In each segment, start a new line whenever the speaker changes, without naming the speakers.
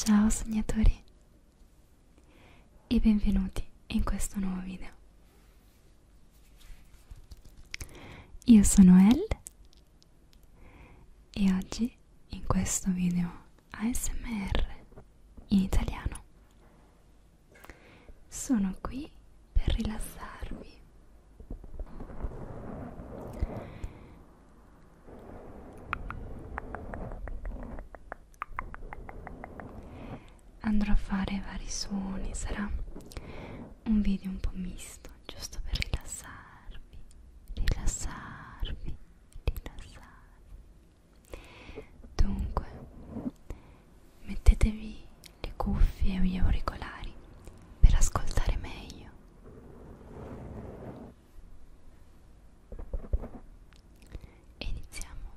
Ciao sognatori e benvenuti in questo nuovo video. Io sono Elle e oggi in questo video ASMR in italiano sono qui per rilassarvi andrò a fare vari suoni sarà un video un po' misto giusto per rilassarvi, rilassarvi, rilassarvi. Dunque, mettetevi le cuffie o gli auricolari per ascoltare meglio. E iniziamo.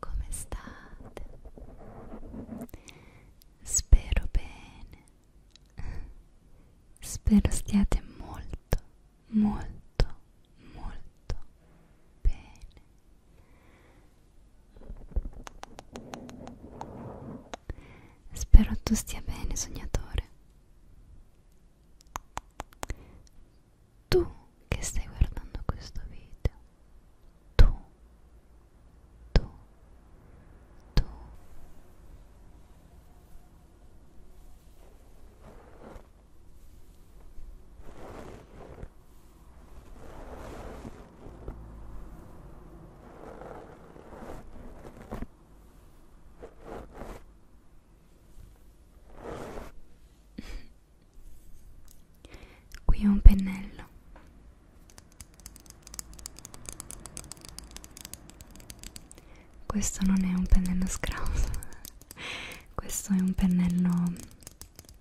Come state? Spero bene. Spero stiate molto, molto, molto bene. Spero tu stia bene, sognatore. Tu che stai guardando questo video. Tu. Tu. Tu. Qui ho un pennello. Questo non è un pennello scrauso, questo è un pennello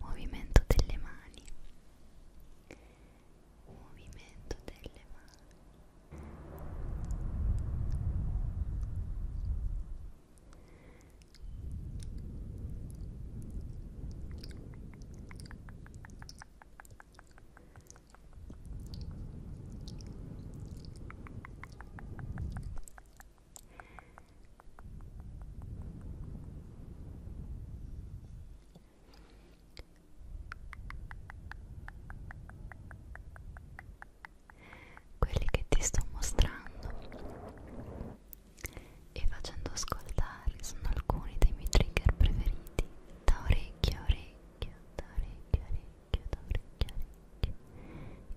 movimento delle mani movimento delle mani quelli che ti sto mostrando e facendo ascoltare sono alcuni dei miei trigger preferiti da orecchio a orecchio da orecchio a orecchio da orecchio a orecchio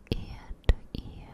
ear to ear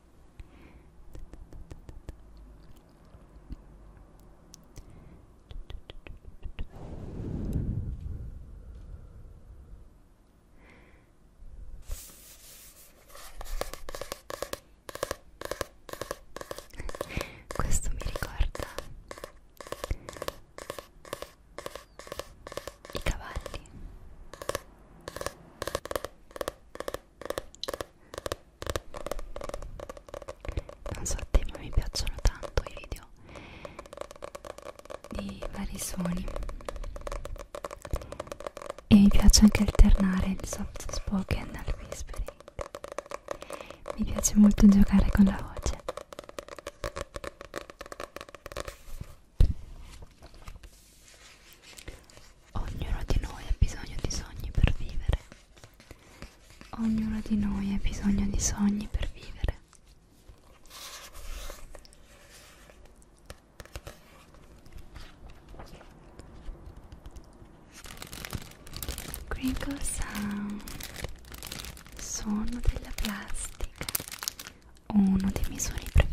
Questo mi ricorda i cavalli non so a te ma mi piacciono tanto i video di vari suoni e mi piace anche alternare il soft spoken al whispering mi piace molto giocare con la voce Ognuno di noi ha bisogno di sogni per vivere. Ognuno di noi ha bisogno di sogni per vivere. Crinkle sound, suono della plastica uno dei miei suoni preferiti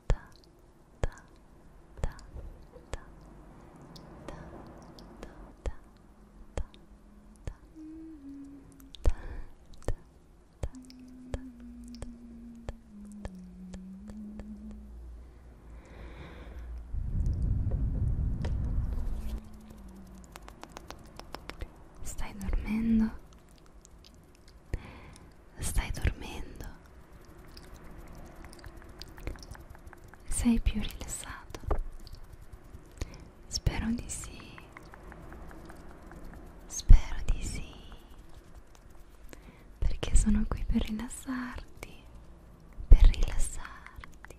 ta ta ta ta ta ta ta ta ta Stai dormendo? Stai dormendo? Sei più rilassato? Spero di sì. Spero di sì. Perché sono qui per rilassarti. Per rilassarti.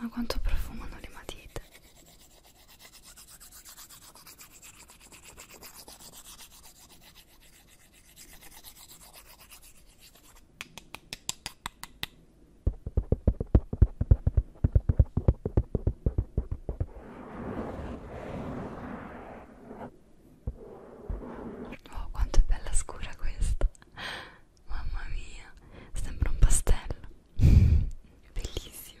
Ma quanto profumano le matite? Oh, quanto è bella scura questa! Mamma mia, sembra un pastello, bellissimo.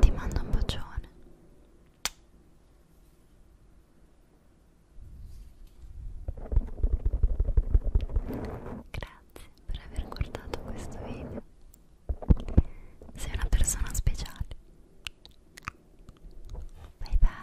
Ti mando un bacione. Grazie per aver guardato questo video. Sei una persona speciale. Bye bye.